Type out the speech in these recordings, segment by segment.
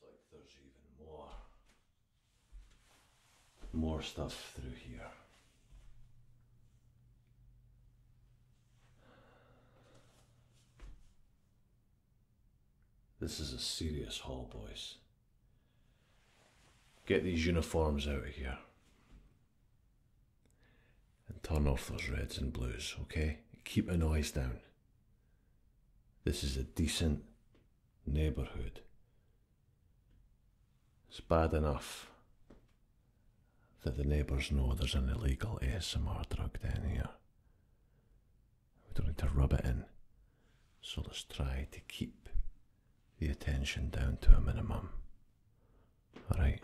Looks like there's even more. More stuff through here. This is a serious hall, boys. Get these uniforms out of here. And turn off those reds and blues, okay? Keep the noise down. This is a decent neighbourhood. It's bad enough that the neighbours know there's an illegal ASMR drug down here. We don't need to rub it in. So let's try to keep the attention down to a minimum. Alright,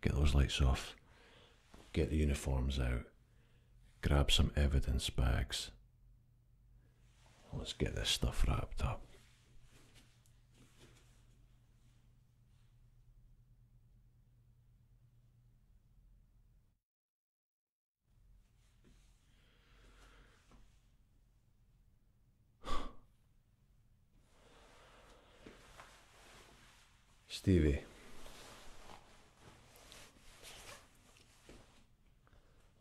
get those lights off, get the uniforms out grab some evidence bags. Let's get this stuff wrapped up. Stevie,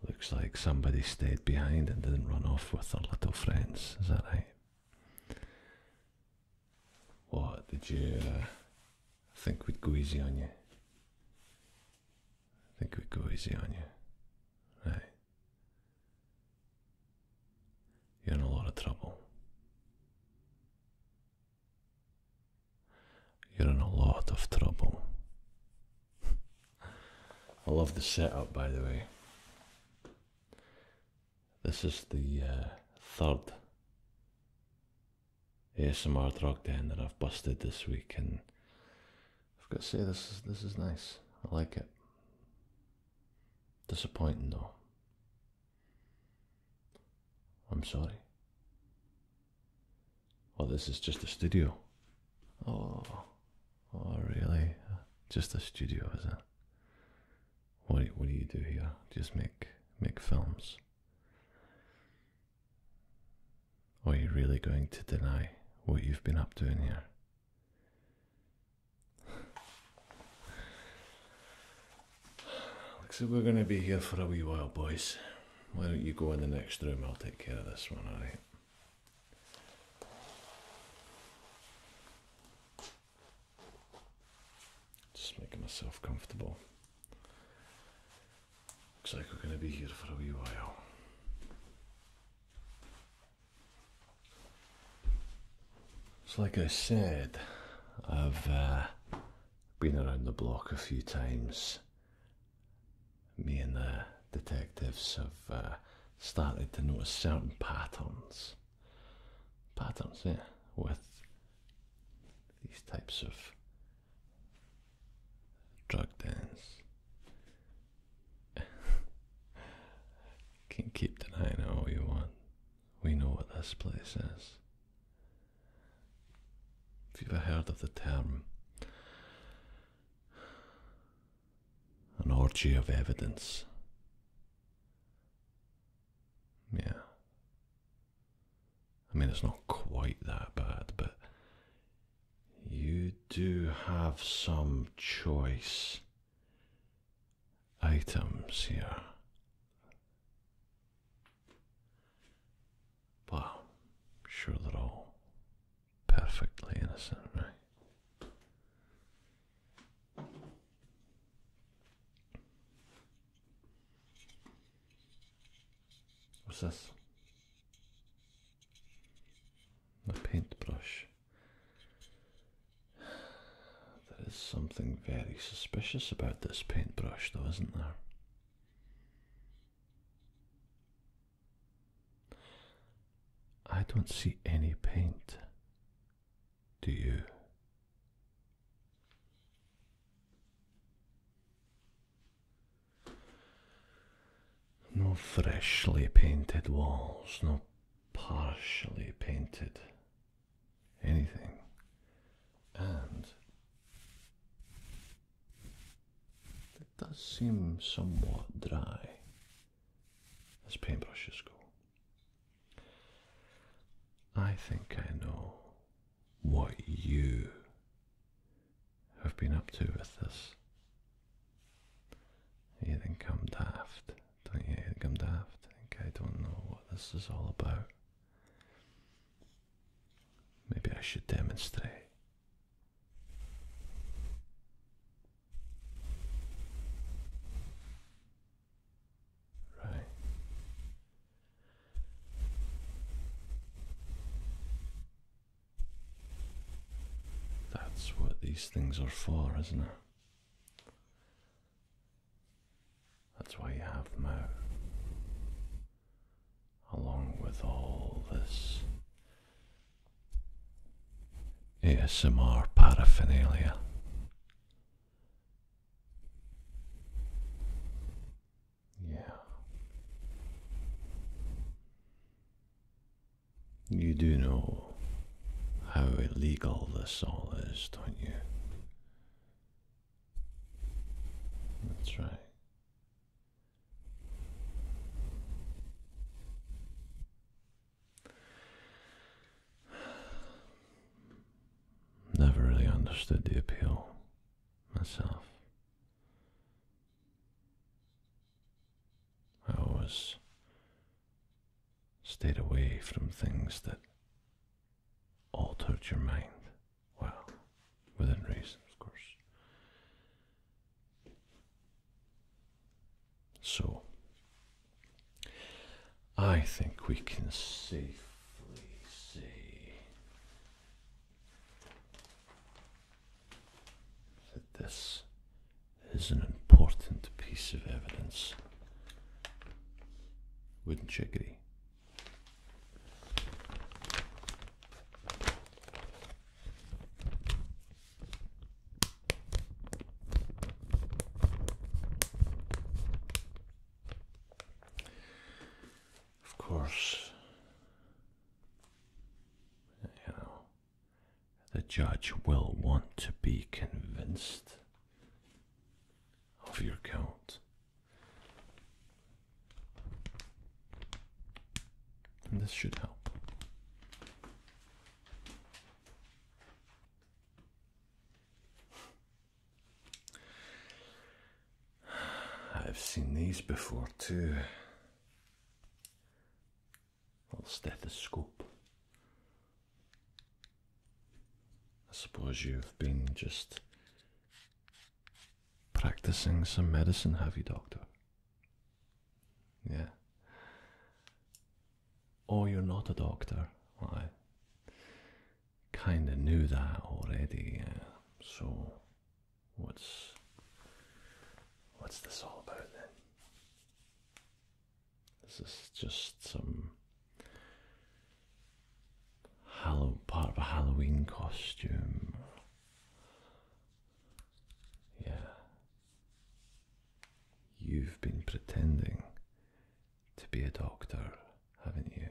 Looks like somebody stayed behind and didn't run off with their little friends. Is that right? What did you uh, think would go easy on you? I think we'd go easy on you. Right. You're in a lot of trouble. You're in a lot of trouble. I love the setup, by the way. This is the uh, third ASMR drug den that I've busted this week, and I've got to say this is this is nice. I like it. Disappointing though. I'm sorry. Well, this is just a studio. Oh, oh, really? Just a studio, is it? What What do you do here? Just make make films. Or are you really going to deny what you've been up to in here? Looks like we're going to be here for a wee while, boys. Why don't you go in the next room? I'll take care of this one, alright? Just making myself comfortable. Looks like we're going to be here for a wee while. So, like I said, I've uh, been around the block a few times. Me and the detectives have uh, started to notice certain patterns. Patterns, yeah, with these types of drug dens. Can keep denying it all you want. We know what this place is. If you've ever heard of the term an orgy of evidence. Yeah. I mean, it's not quite that bad, but you do have some choice items here. Wow, sure that perfectly innocent, right? What's this? A paintbrush. There is something very suspicious about this paintbrush, though, isn't there? I don't see any paint. Do you? No freshly painted walls, no partially painted anything and it does seem somewhat dry as paintbrushes go. I think I know what you have been up to with this. You think I'm daft, don't you? you think I'm daft? think I don't know what this is all about. Maybe I should demonstrate. Right. That's what these things are for, isn't it? That's why you have Mo. Along with all this ASMR paraphernalia. Yeah. You do know how illegal this all is, don't you? Let's Never really understood the appeal myself. I always stayed away from things that altered your mind. Well, within reason, of course. So, I think we can safely say that this is an important piece of evidence. Wouldn't you agree? Of course, you know, the judge will want to be convinced of your guilt this should help. I've seen these before too. Little stethoscope. I suppose you've been just practicing some medicine, have you, doctor? Yeah. Oh, you're not a doctor. I kind of knew that already. So, what's what's this all about then? This is just some Halloween, part of a Halloween costume. Yeah. You've been pretending to be a doctor, haven't you?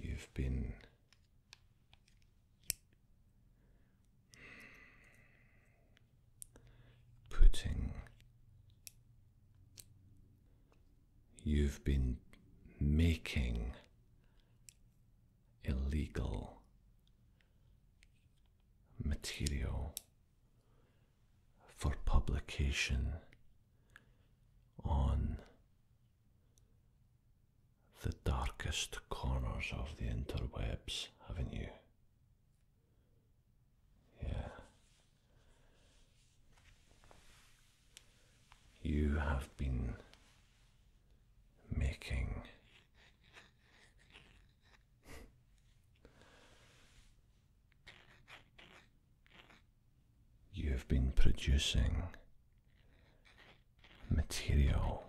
You've been putting you've been making illegal material for publication on the darkest corners of the interwebs, haven't you? Yeah. You have been making you have been producing material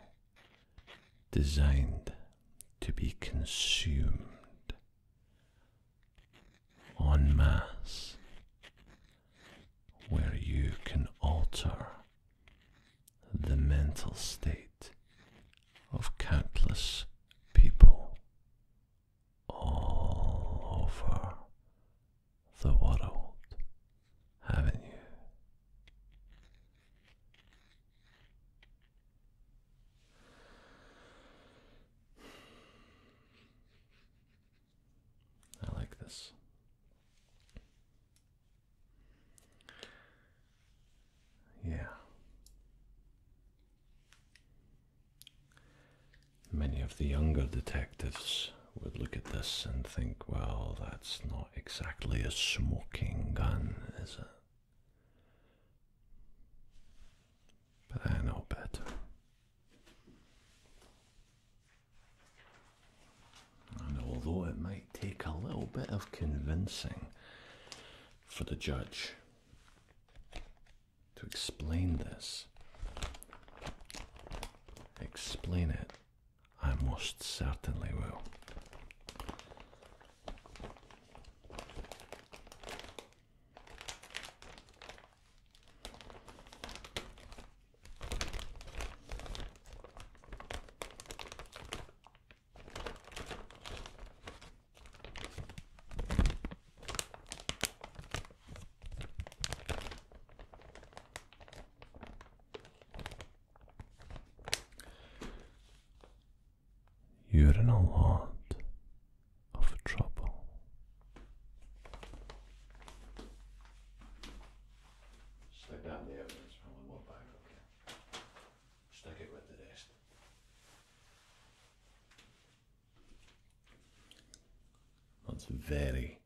designed to be consumed on mass, where you can alter the mental state of countless people all over the world, haven't you? I like this. Yeah. Many of the younger detectives would look at this and think, well, that's not exactly a smoking gun, is it? But I know better. And although it might take a little bit of convincing for the judge to explain this, explain it, I most certainly will. You're not a lot of down the evidence from the wall back, okay? Stick it with the rest. That's very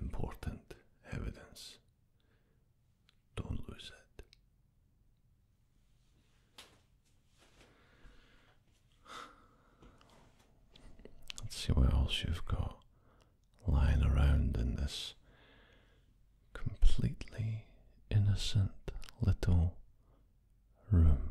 important evidence. Don't lose it. Let's see what else you've got lying around in this completely innocent little room.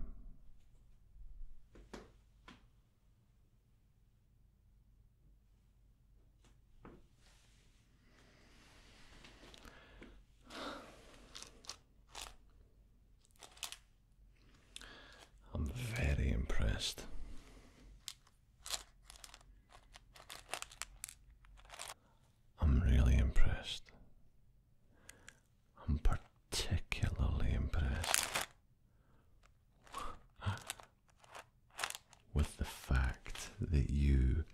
I'm very impressed. I'm really impressed. I'm particularly impressed with the fact that you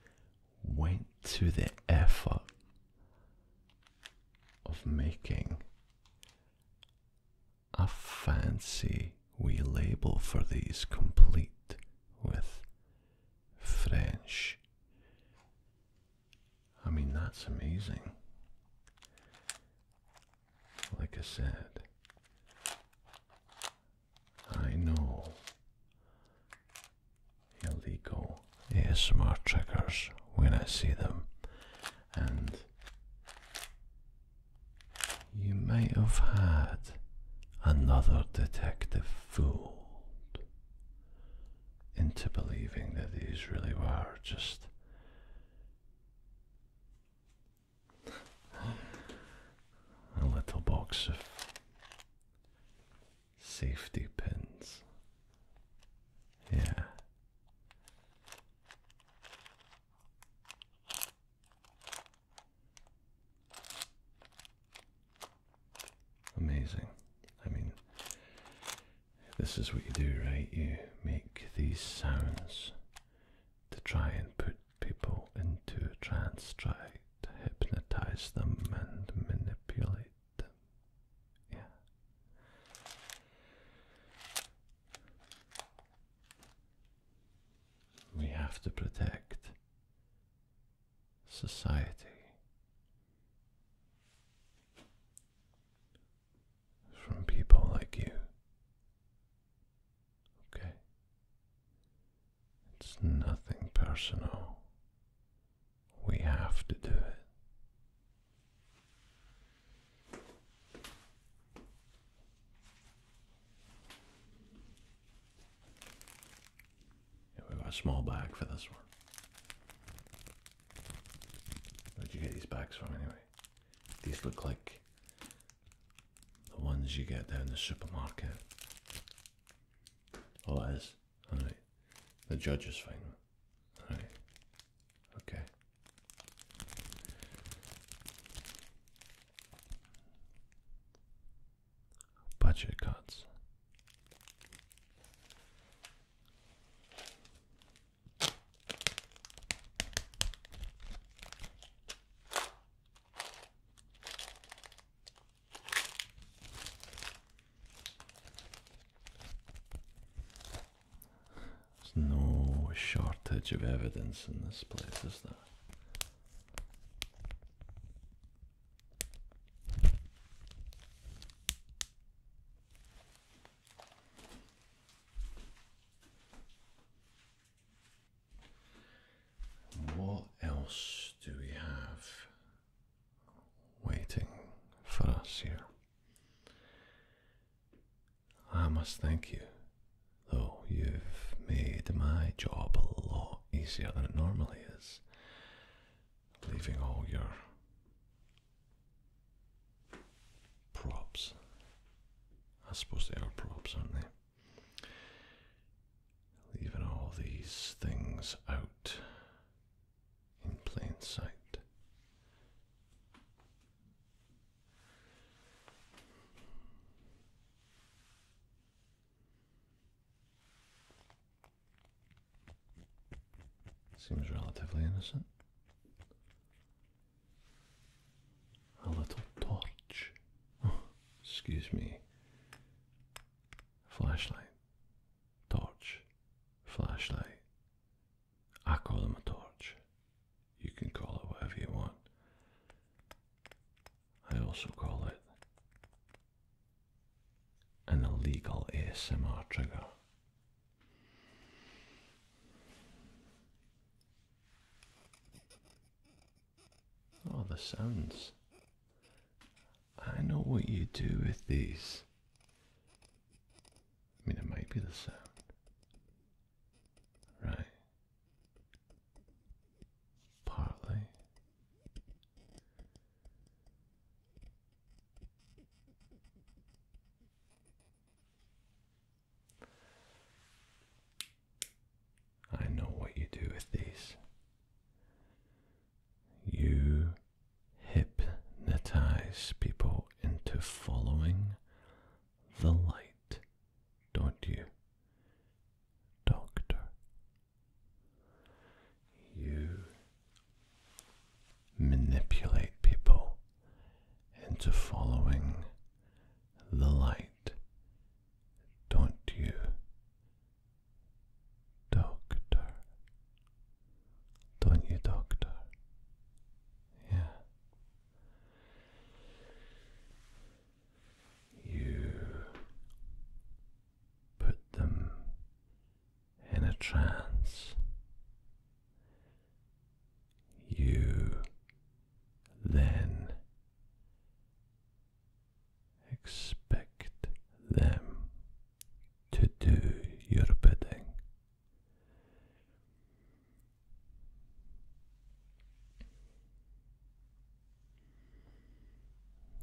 went to the effort of making a fancy we label for these, complete with French. I mean, that's amazing. Like I said, I know illegal ASMR triggers when I see them, and you might have had another detective fooled into believing that these really were just. A little box of safety pins yeah. Amazing. I mean, this is what you do, right? You make these sounds to try and put people into trance, try to hypnotize them and manipulate we have to protect society from people like you. Okay? It's nothing personal. We have to do it. we got a small bag for this one. Where'd you get these bags from anyway? These look like the ones you get down the supermarket. Oh, that is. Alright. The judges fine. Alright. Okay. Budget cuts. There's no shortage of evidence in this place, is there? What else do we have waiting for us here? I must thank you, though you've made my job a lot easier than it normally is, leaving all your props. I suppose they are props, aren't they? Leaving all these things out in plain sight. Seems relatively innocent. A little torch. excuse me. Flashlight. Torch. Flashlight. I call them a torch. You can call it whatever you want. I also call it an illegal ASMR trigger. Oh, the sounds. I know what you do with these. I mean, it might be the sound. Right. Partly. I know what you do with these. You hypnotize people into following the light, don't you, Doctor? You manipulate people into following the light, don't you, Doctor? Don't you, Doctor? Yeah. You put them in a trance. You then expect them to do your bidding.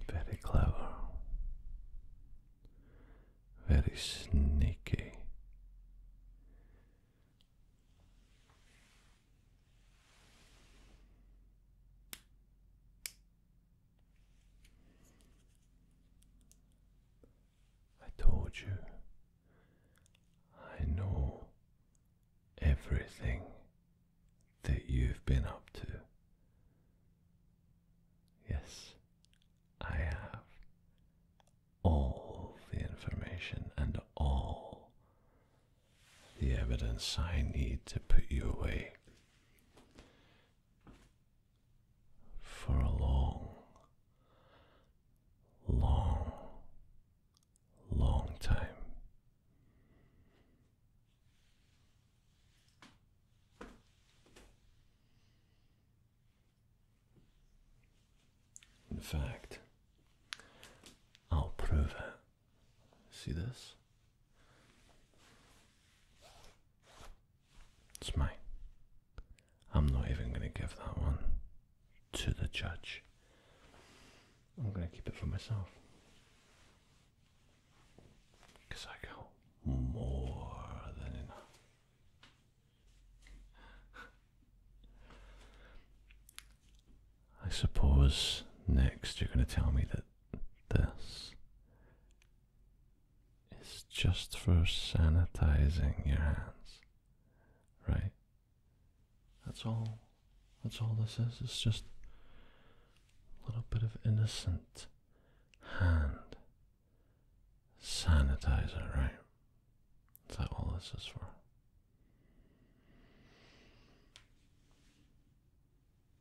Very clever, very sneaky. I told you. I know everything that you've been up to. Yes, I have all the information and all the evidence I need to put you away for a long, long, long time. In fact, I'll prove it. See this? It's mine. I'm not even going to give that one to the judge. I'm going to keep it for myself. Because I got more than enough. I suppose next you're going to tell me that this is just for sanitizing your hands, right? That's all. That's all this is. It's just a little bit of innocent hand sanitizer, right? Is that all this is for?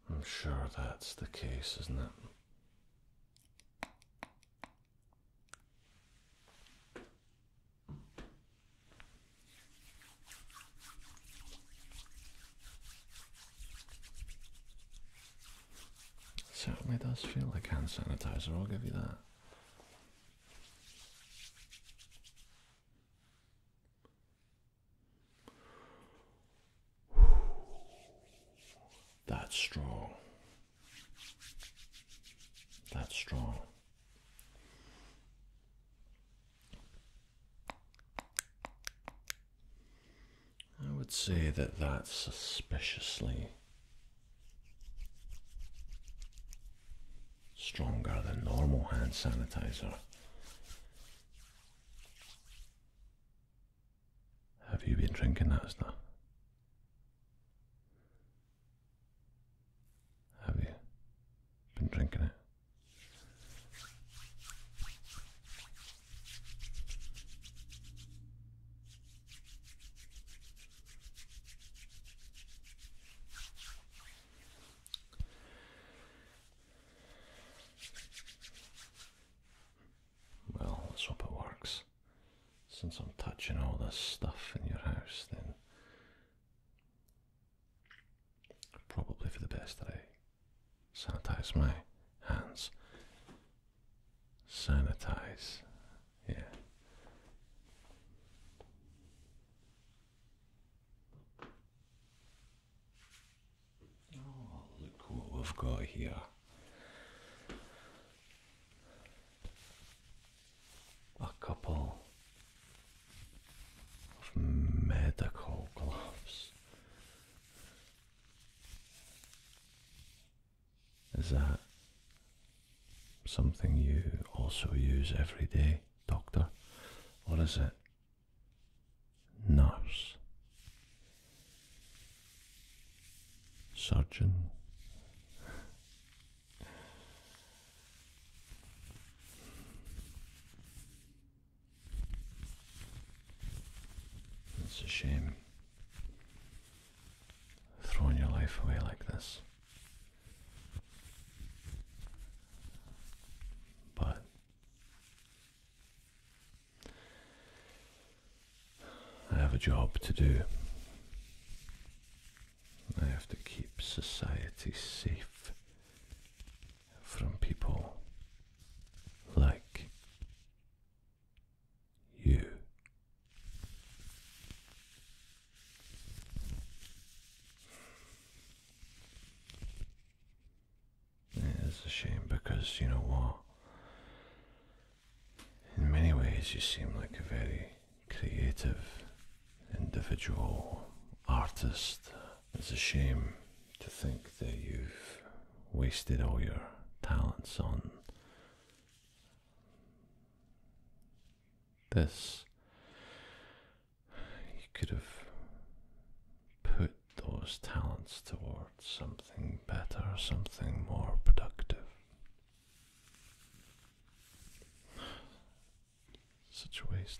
I'm sure that's the case, isn't it? Certainly does feel like hand sanitizer, I'll give you that. That's strong. That's strong. I would say that that's suspiciously stronger than normal hand sanitizer. Have you been drinking that stuff? Have you been drinking it? Well, let's hope it works since I'm touching all this stuff in your house, then probably for the best that I sanitize my hands. Sanitize, yeah. Oh, look what we've got here a couple of medical gloves is that something you also use every day doctor What is it nurse surgeon. It's a shame throwing your life away like this. But I have a job to do. I have to keep society safe from people like you. It is a shame because you know what? In many ways, you seem like a very creative individual, artist. It's a shame to think that you've wasted all your talents on this. You could have put those talents towards something better, something more productive. Such a waste.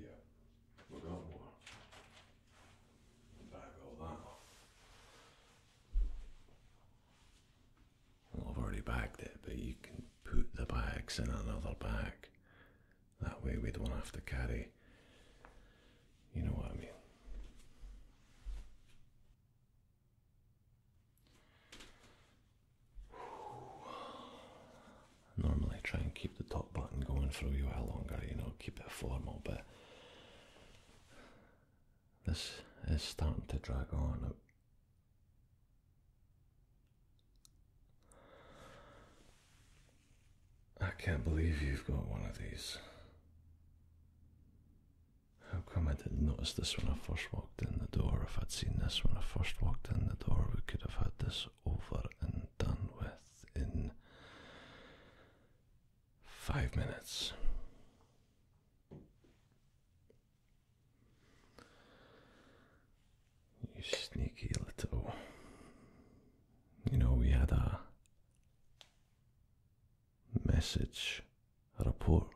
Yeah, we're going more. Back all that. Well, I've already bagged it, but you can put the bags in another bag. That way we don't have to carry. You know what I mean? Normally, try and keep the top button going for a wee while longer, you know, keep it formal, but this is starting to drag on. I can't believe you've got one of these. How come I didn't notice this when I first walked in the door, if I'd seen this when I first walked in the door, we could have had this over and done with in five minutes. You sneaky little. You know, we had a message, a report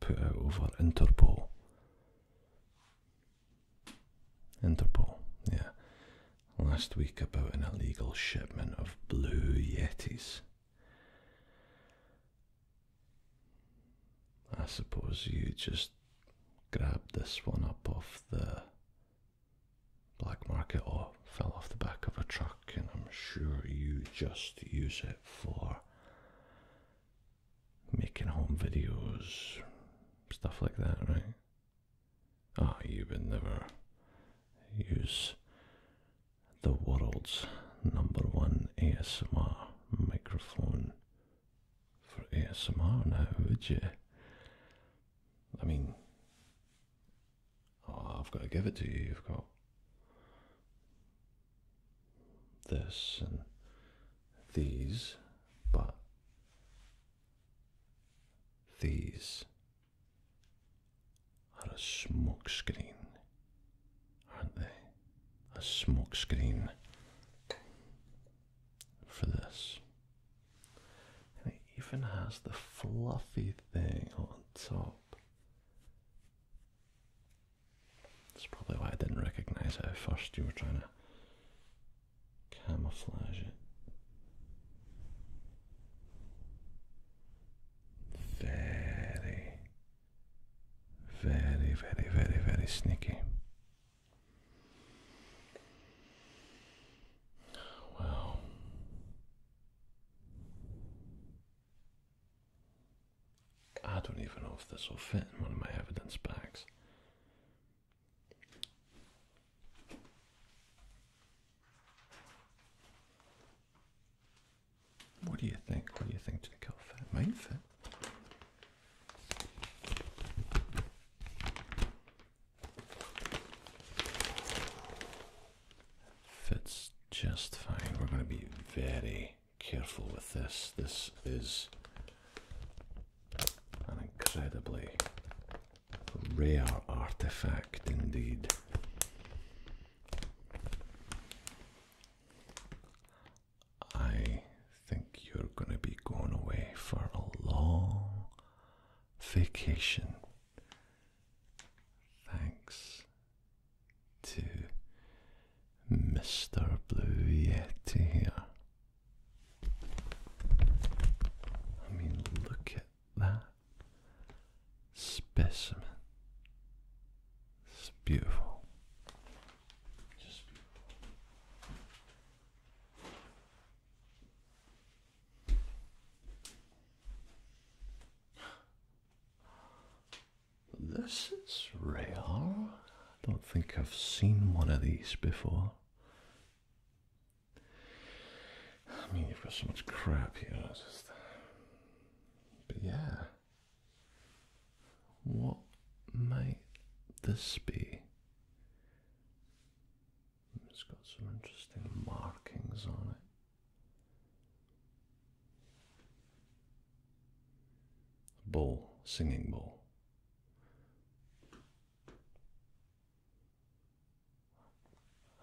put out over Interpol. Interpol, yeah. Last week about an illegal shipment of blue Yetis. I suppose you just grabbed this one up off the black market or fell off the back of a truck, and I'm sure you just use it for making home videos, stuff like that, right? Ah, you would never use the world's number one ASMR microphone for ASMR now, would you? I mean, oh, I've got to give it to you. You've got this and these, but these are a smokescreen, aren't they? A smokescreen for this. And it even has the fluffy thing on top. That's probably why I didn't recognize it at first. You were trying to camouflage it. Very, very, very, very, very sneaky. Well, I don't even know if this will fit in one of my evidence bags. What do you think? What do you think to the kill fit? Mine fit. Fits just fine. We're going to be very careful with this. This is an incredibly rare artifact indeed. I think you're going to be going away for a long vacation. Thanks to Mr. Blue Yeti here. I mean, look at that specimen. It's beautiful. Just beautiful. This is real. I don't think I've seen one of these before. I mean, you've got so much crap here. Just... But yeah. What might this be? It's got some interesting markings on it. Bull, singing bull.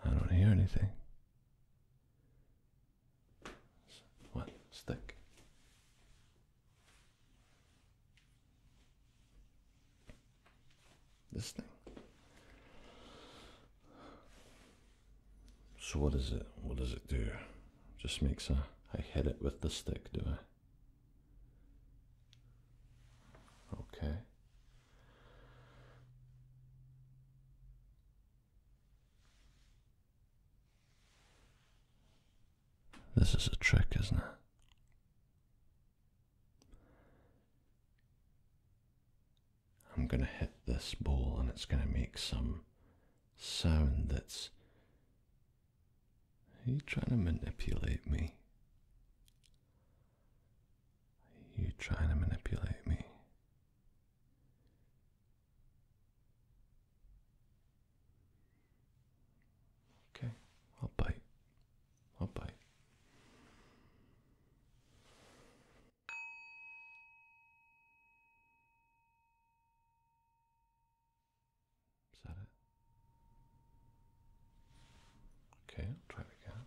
I don't hear anything. What? Stick. This thing. So what is it? What does it do? Just makes a. I hit it with the stick, do I? Okay. This is a trick, isn't it? I'm going to hit this ball and it's going to make some sound that's are you trying to manipulate me? Are you trying to manipulate me? Okay, I'll bite. I'll bite. Is that it? Okay, I'll try it again.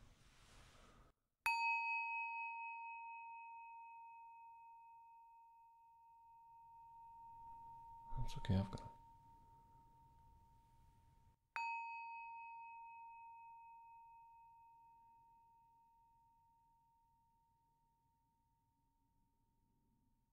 That's okay, I've got it.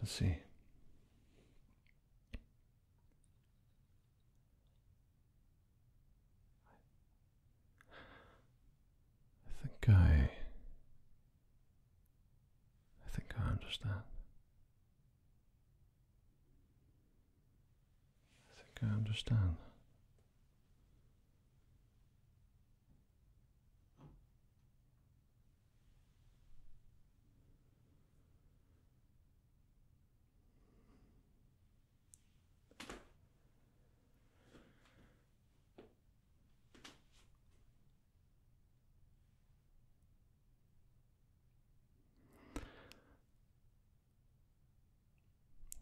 Let's see. I think I. I think I understand. I think I understand.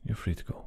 You're free to go.